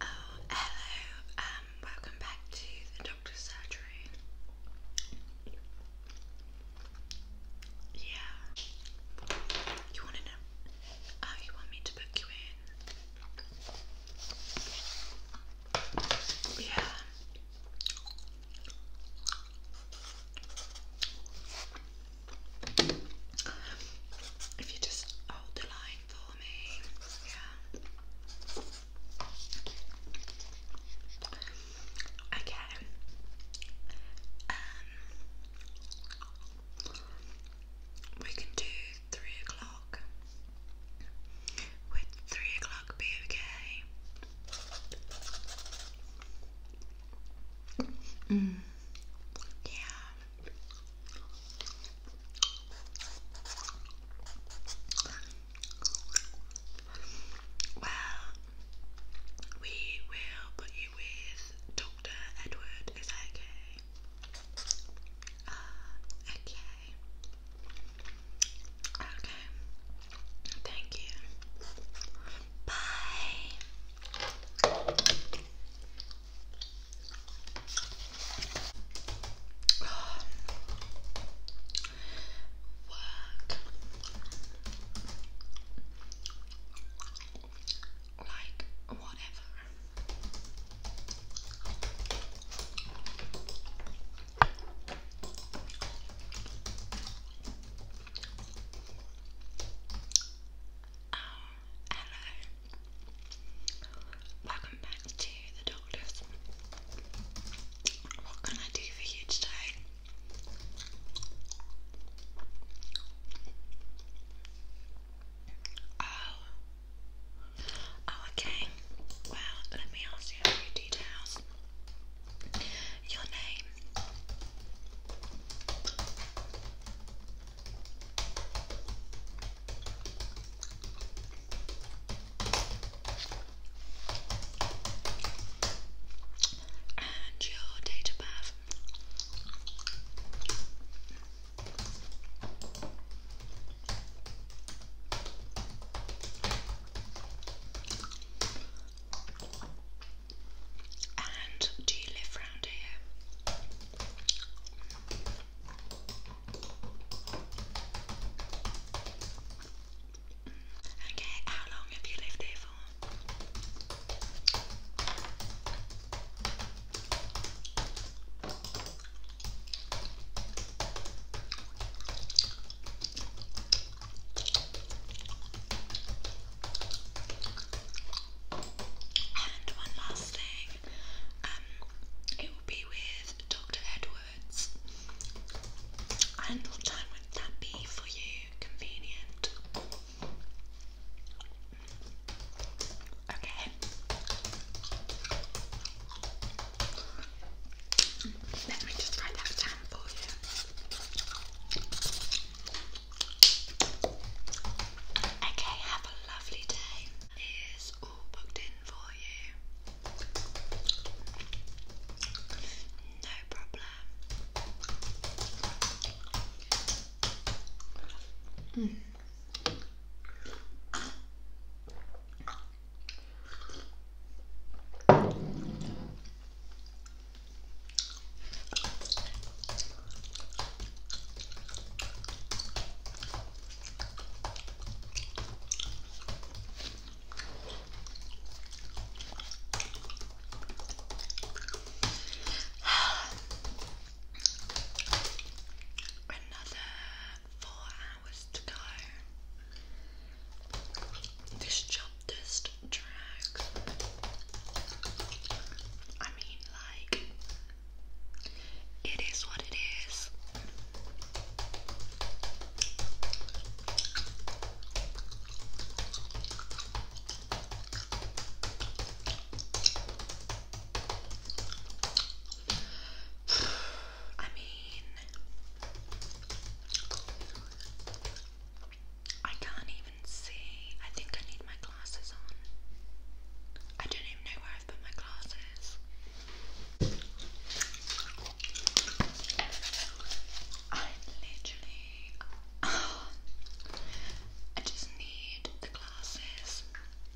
Oh, hello. Um, welcome back to the doctor's surgery. Yeah. You want to know? Oh, you want me to book you in? Yeah. If you just hold the line for me, yeah. Okay. Um, we can do three o'clock. Would three o'clock be okay? Mm. Yeah. Well, we will put you with Dr. Edward. Is that okay? Uh, okay. Okay. Thank you. Bye. Work like whatever. Um, Hello. Welcome back to the doctors. What can I do for you today? Oh. Oh, okay. Well, let me ask you a few details. Your name and your date of And do you live round here? Okay, how long have you lived here for? And one last thing, um, it will be with Dr. Edwards. And what time would that be for you? Convenient. Okay. Let me just write that down for you. Okay, have a lovely day. It is all booked in for you. No problem. Hmm. Another four hours to go. This job just drags. I mean, like, it is what it is. I mean, I can't even see. I think I need my glasses on. I don't even know where I've put my glasses. I literally. Oh, I just need the glasses. Found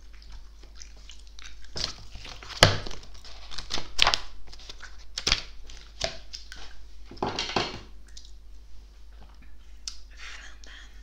them.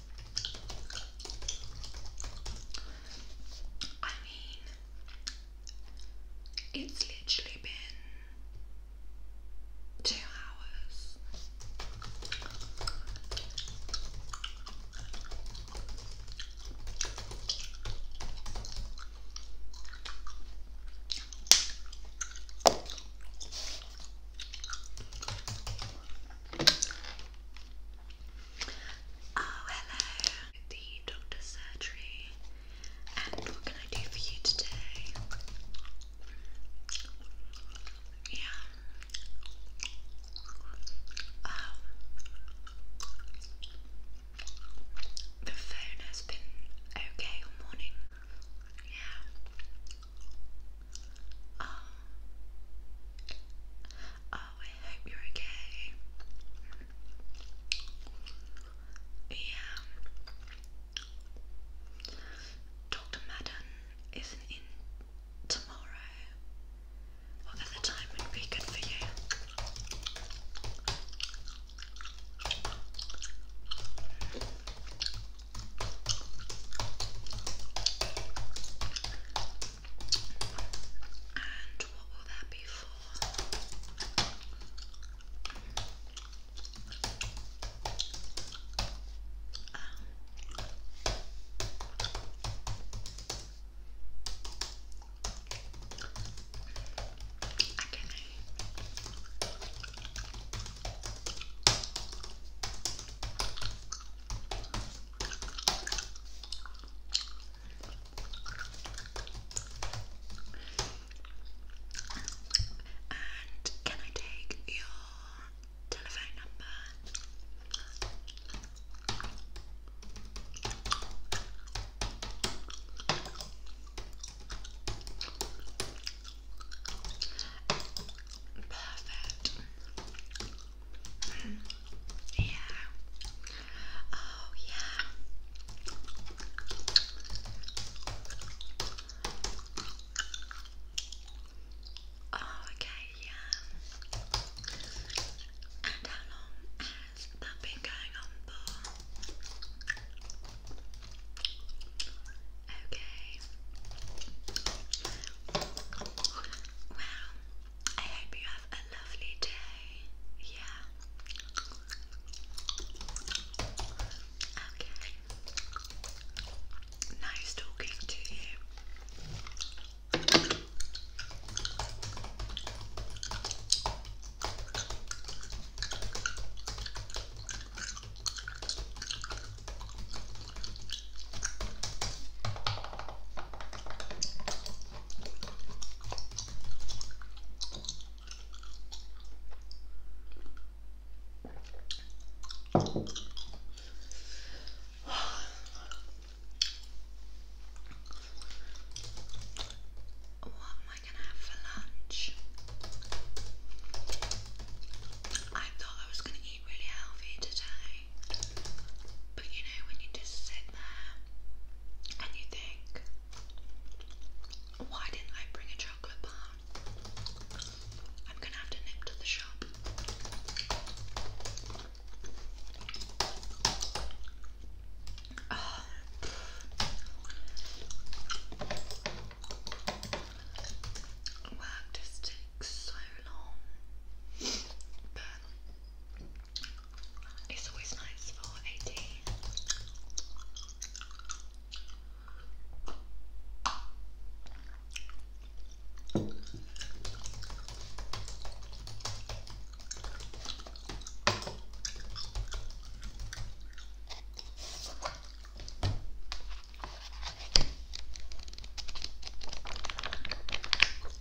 I mean, it's literally been two hours. Oh, hello. The doctor's surgery. And what can I do for you today? Yeah. Um, the phone has been okay all morning. Yeah. Oh. oh, I hope you're okay. Yeah. Dr. Madden isn't in tomorrow. What other time would be good for you? And what will that be for? Um, and can I take your telephone number? Perfect yeah. Oh, yeah. Oh, okay, yeah. And how long has that been going on for? Okay. Well, I hope you have a lovely day. Yeah. Okay. Nice talking to you. What am I gonna have for lunch? I thought I was gonna eat really healthy today. But you know, when you just sit there and you think, why didn't I bring a chocolate bar? I'm gonna have to nip to the shop. Work just takes so long, it's always nice for a tea.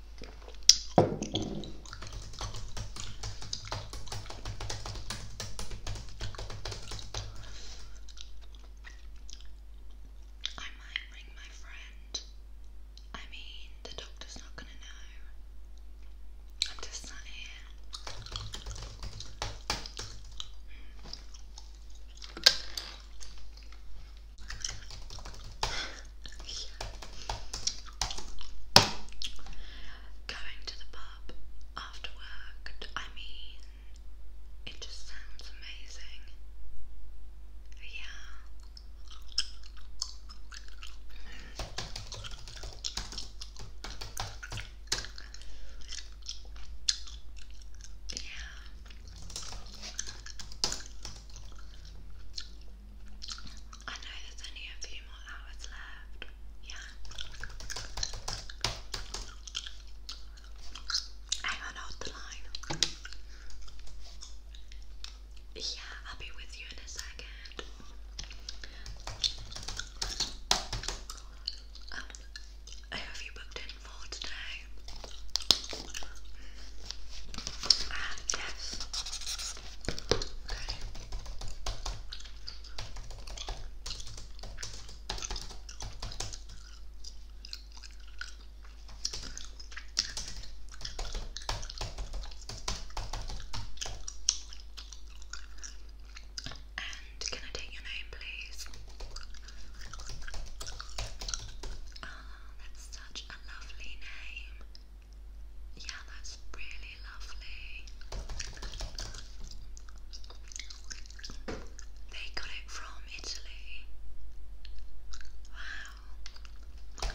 I might ring my friend. I mean, the doctor's not gonna know. I'm just sat here yeah. Going to the pub after work, I mean, it just sounds amazing. Yeah. Yeah. I know there's only a few more hours left. Yeah. Hang on, hold the line. Yeah, I'll be with you in a second. Um, have you booked in for today? Ah, yes. And can I take your name, please? Oh, that's such a lovely name. Yeah, that's really lovely. They got it from Italy. Wow.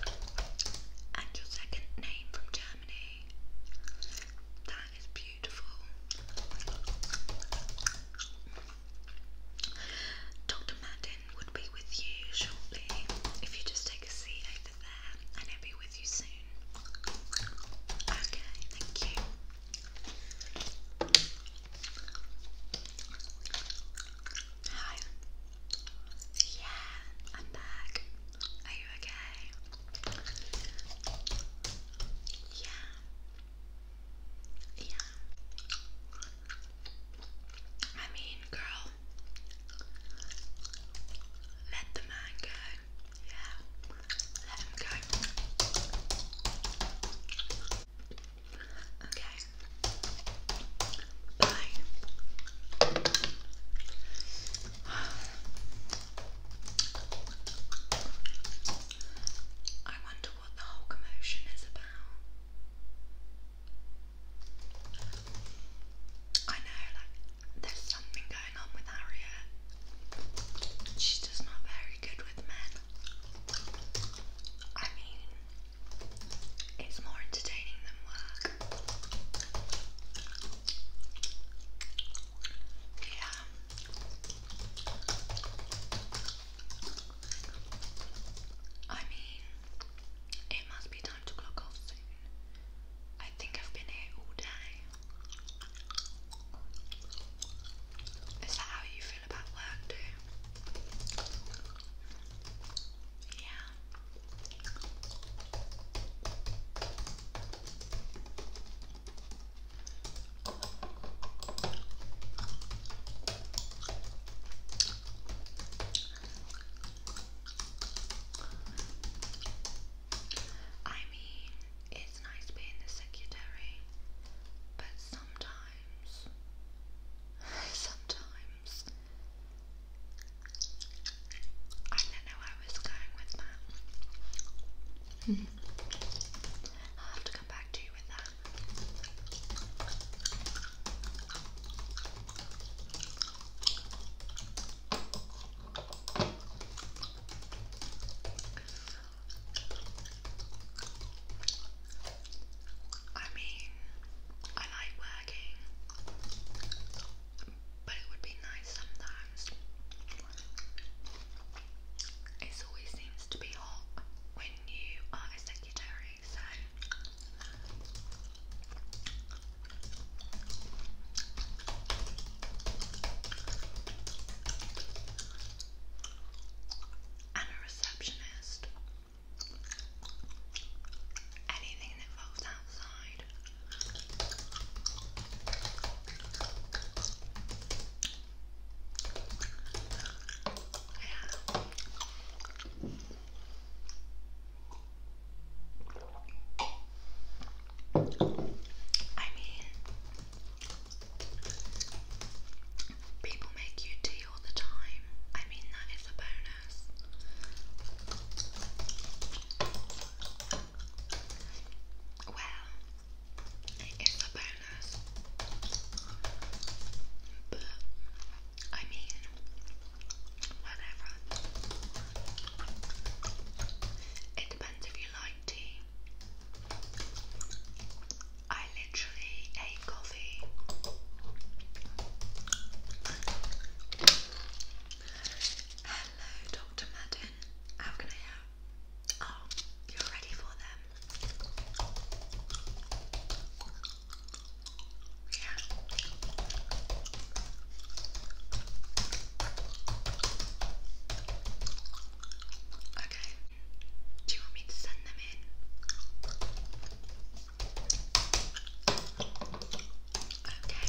And your second name from Germany. That is beautiful. Dr. Maddie would be with you shortly if you just take a seat over there and he'll be with you soon. Okay, thank you. Hi. Yeah, I'm back. Are you okay? Yeah. Yeah. I mean, girl, let the man go. Yeah. Let him go. Okay. Bye. I wonder what the whole commotion is about. I know, like, there's something going on with Harriet. She's just not very good with men. I mean, it's more entertaining than work. Yeah. I mean, it must be I think I've been here all day. Is that how you feel about work too? Yeah. I mean, it's nice being the secretary, but sometimes, sometimes, I don't know I was going with that. I'll have to come back to you with that. I mean, I like working, but it would be nice sometimes. It always seems to be hot when you are a secretary so I'm a receptionist. Anything that falls outside. I mean, people make you all the time. I mean, that is a bonus. Well, it is a bonus, but I mean, whatever. It depends if you like tea. I literally hate coffee. Hello, Dr. Madden. How can I help? Oh, you're ready for them. Okay. Do you want me to send them in? Okay.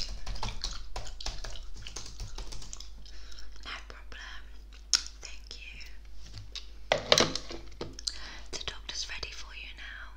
No problem. Thank you. The doctor's ready for you now.